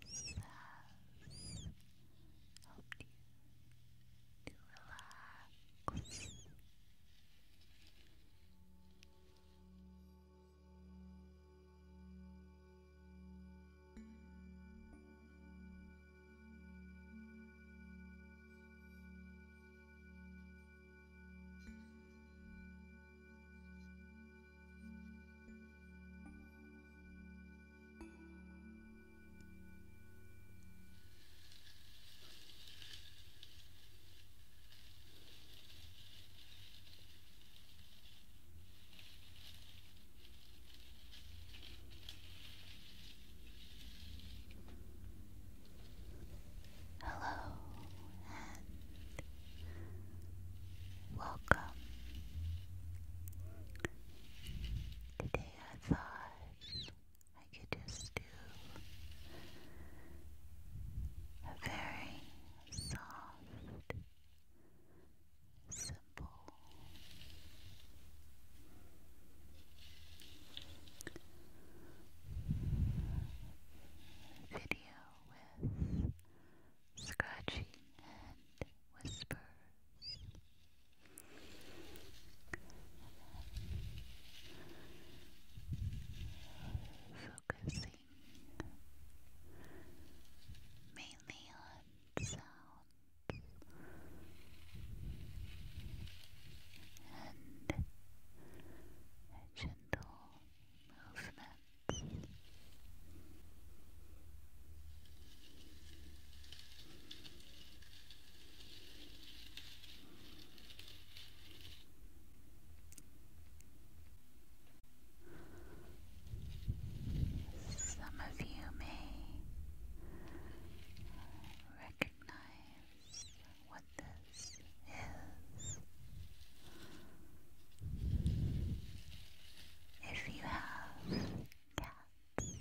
This has helped you to relax. Relax. Hello, and Welcome. Today I thought I could just do a very soft, simple video with scratching and whisper, Focusing mainly on sounds and gentle movement. Some of you may recognize what this is. If you have cats,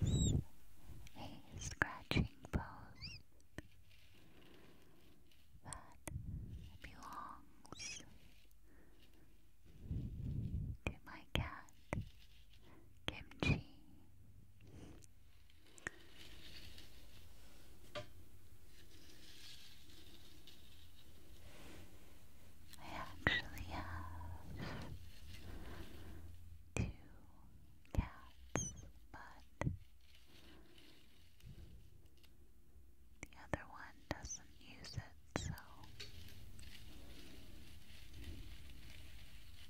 it's a scratching pose that belongs to my my cat, Kimchi. I actually have two cats, but the other one doesn't use it, so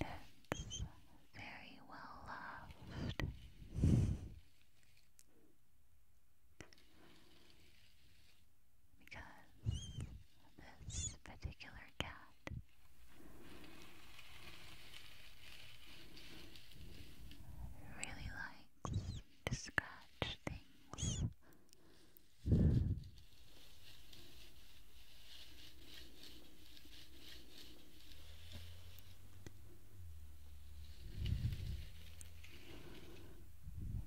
That's very well loved. Because this particular cat really likes to scratch things.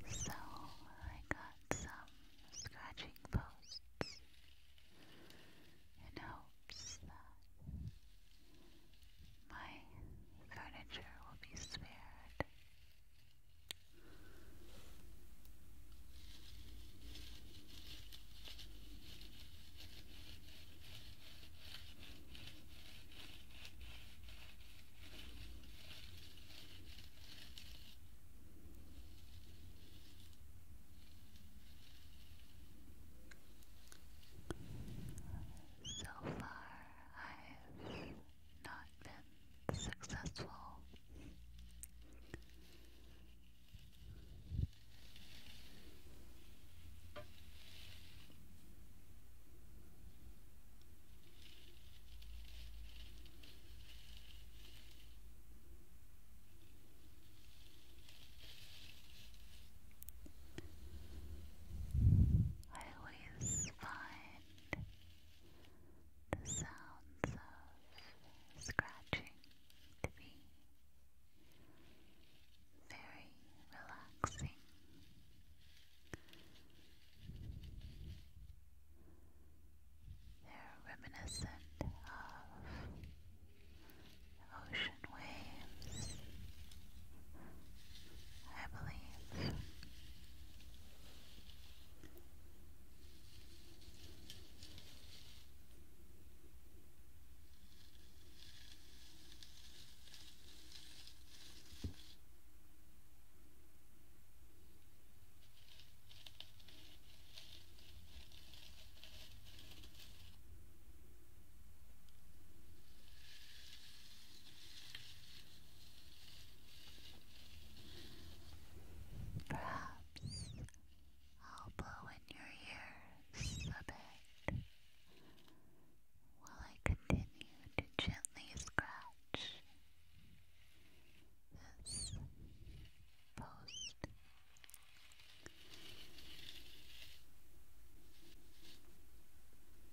So I got some scratching posts in hopes my furniture will be spared so far, I've not been successful. I always find the sounds of scratching to be very relaxing. They're reminiscent of ocean waves I believe. Perhaps I'll blow in your ears a bit while I continue to gently scratch this post.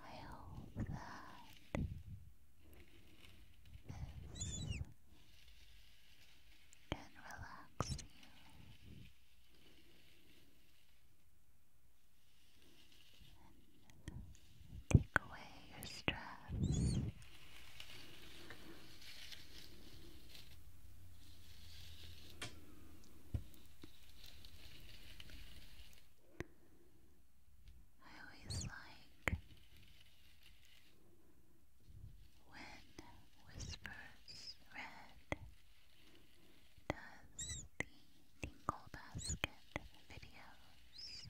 I hope that this can relax you and take away your stress. I always like when Whispers Red does the Tinkle Basket videos.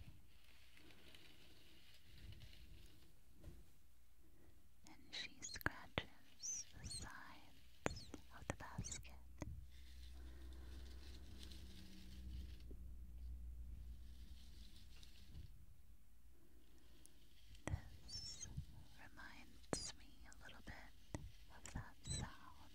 And she scratches covers the sides of the basket. This reminds me a little bit of that sound.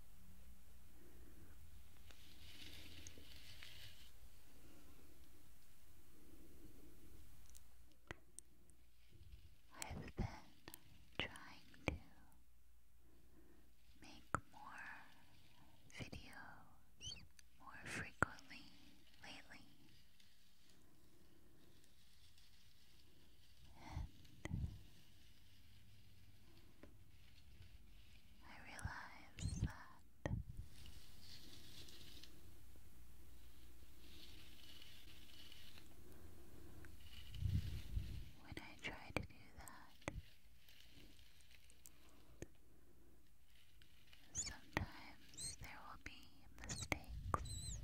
I've been trying to make more videos more frequently lately. I realize that when I try to do that, sometimes there will be mistakes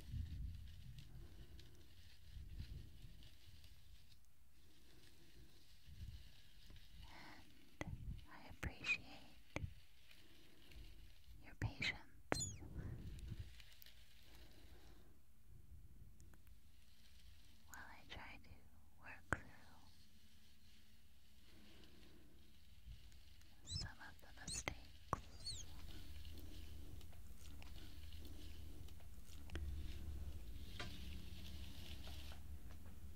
and I appreciate your patience. While I try to work through some of the mistakes.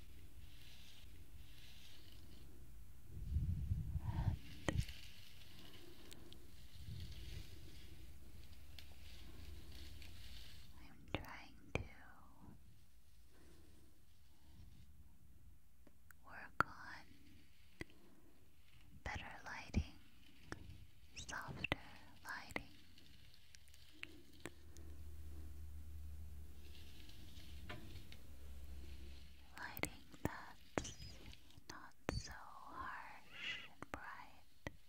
And I'm trying to work on better lighting, softer lighting lighting that's not so harsh and bright,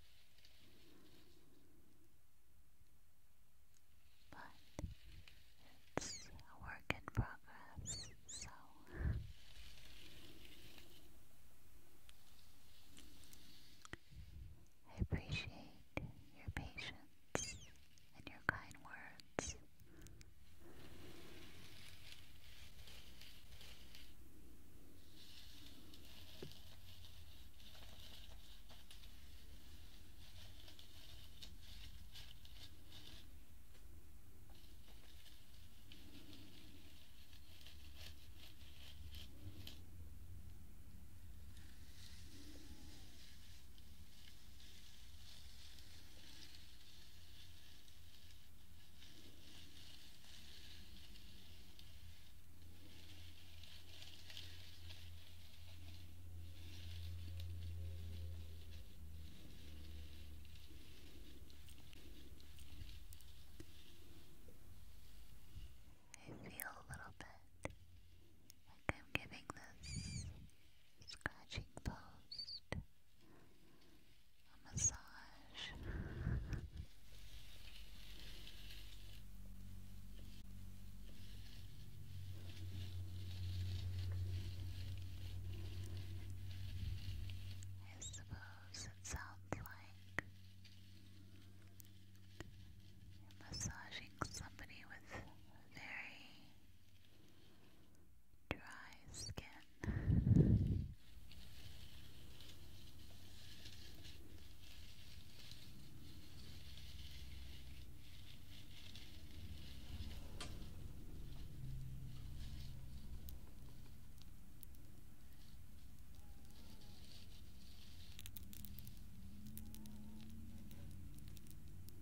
but it's a work in progress, so. I appreciate your patience thoughts and your kind words. I feel a little bit like I'm giving this scratching post, a massage. I suppose it sounds like massaging somebody with very dry skin.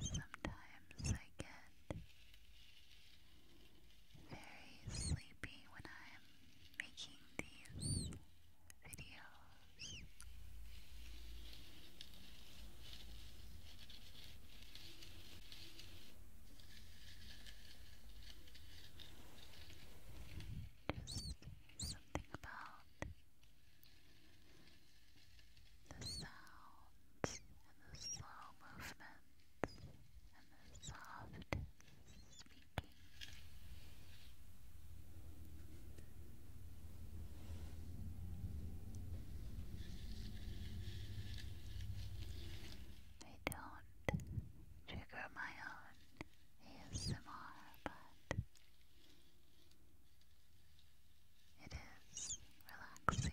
Sometimes I get very sleepy when I'm making these videos. Just something about the sounds and the slow movements and the soft speaking. I don't trigger my own ASMR, but it is relaxing.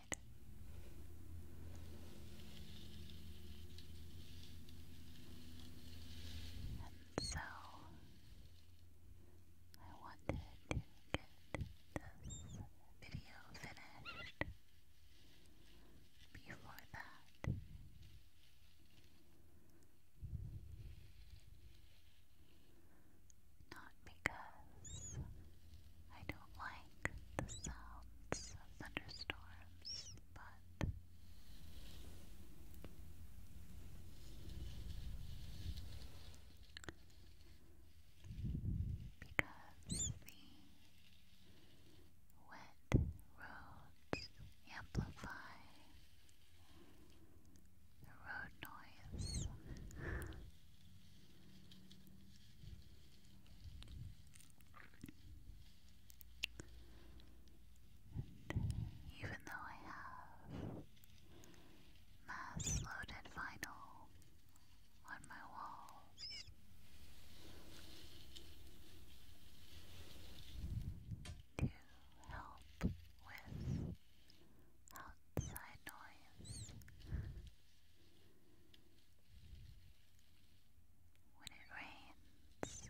And so I wanted to get this video finished before that. Not because I like the sounds of thunderstorms, but because the wet roads amplify the road noise even though I have mass loaded vinyl on my walls, to help with outside noise. When it rains,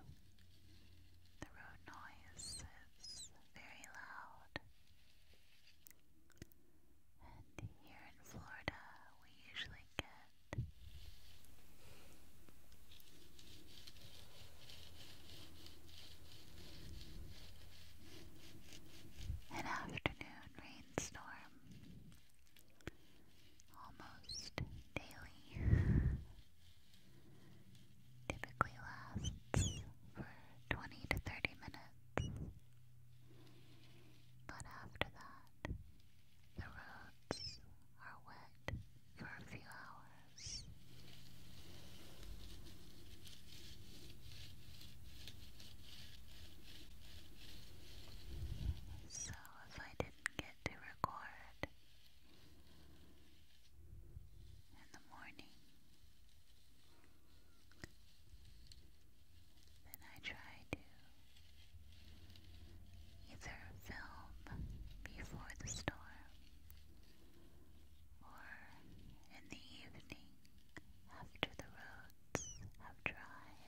the road noise is very loud. And here in Florida, we usually get an afternoon rainstorm almost daily. Typically lasts for 20 to 30 minutes. But after that, the roads are wet for a few hours. So, if I didn't get to record in the morning. Then I try to either film before the storm or in the evening after the roads have dried.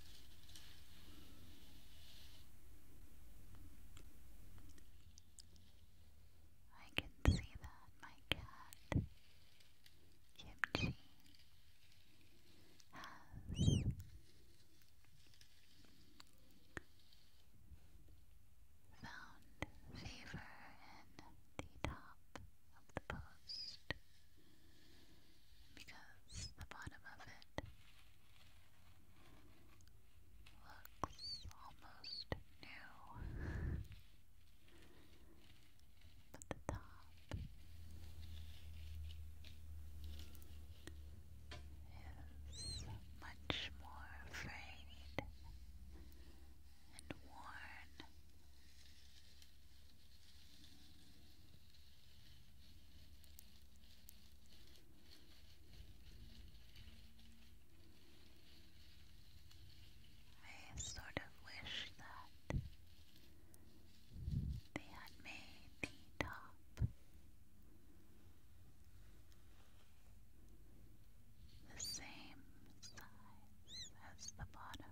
I can see that my cat, Kimchi, has found favor in the top of the post because the bottom of it looks almost new. But the top is much more frayed and worn. I sort of wish that they had made the top the same size as the bottom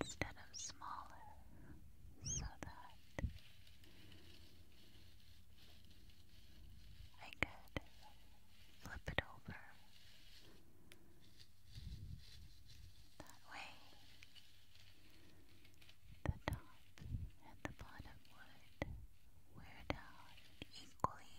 instead of smaller so that I could flip it over. That way, the top and the bottom would wear down equally.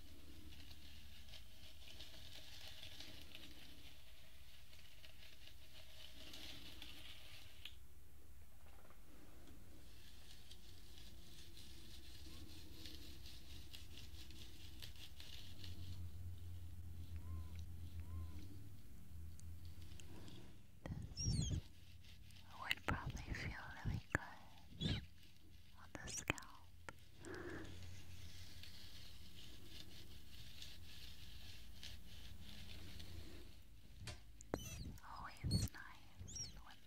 This would probably feel really good on the scalp. It's nice when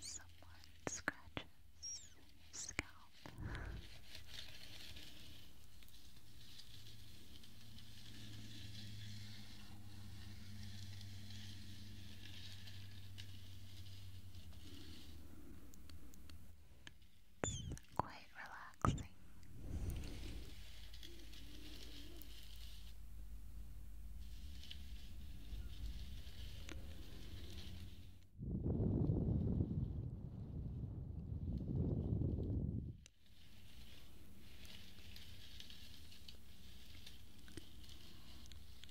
someone scratches your scalp. It's quite relaxing.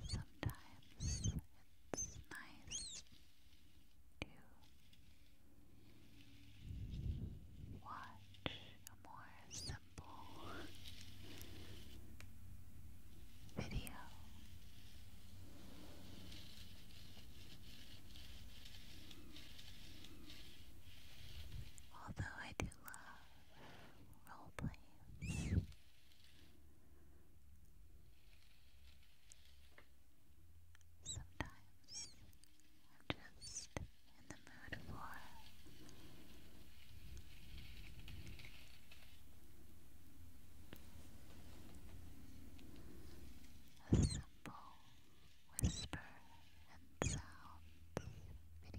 Sometimes it's nice to watch a more simple video. Although I do love role sometimes I'm just in the mood for a simple whisper and sounds video.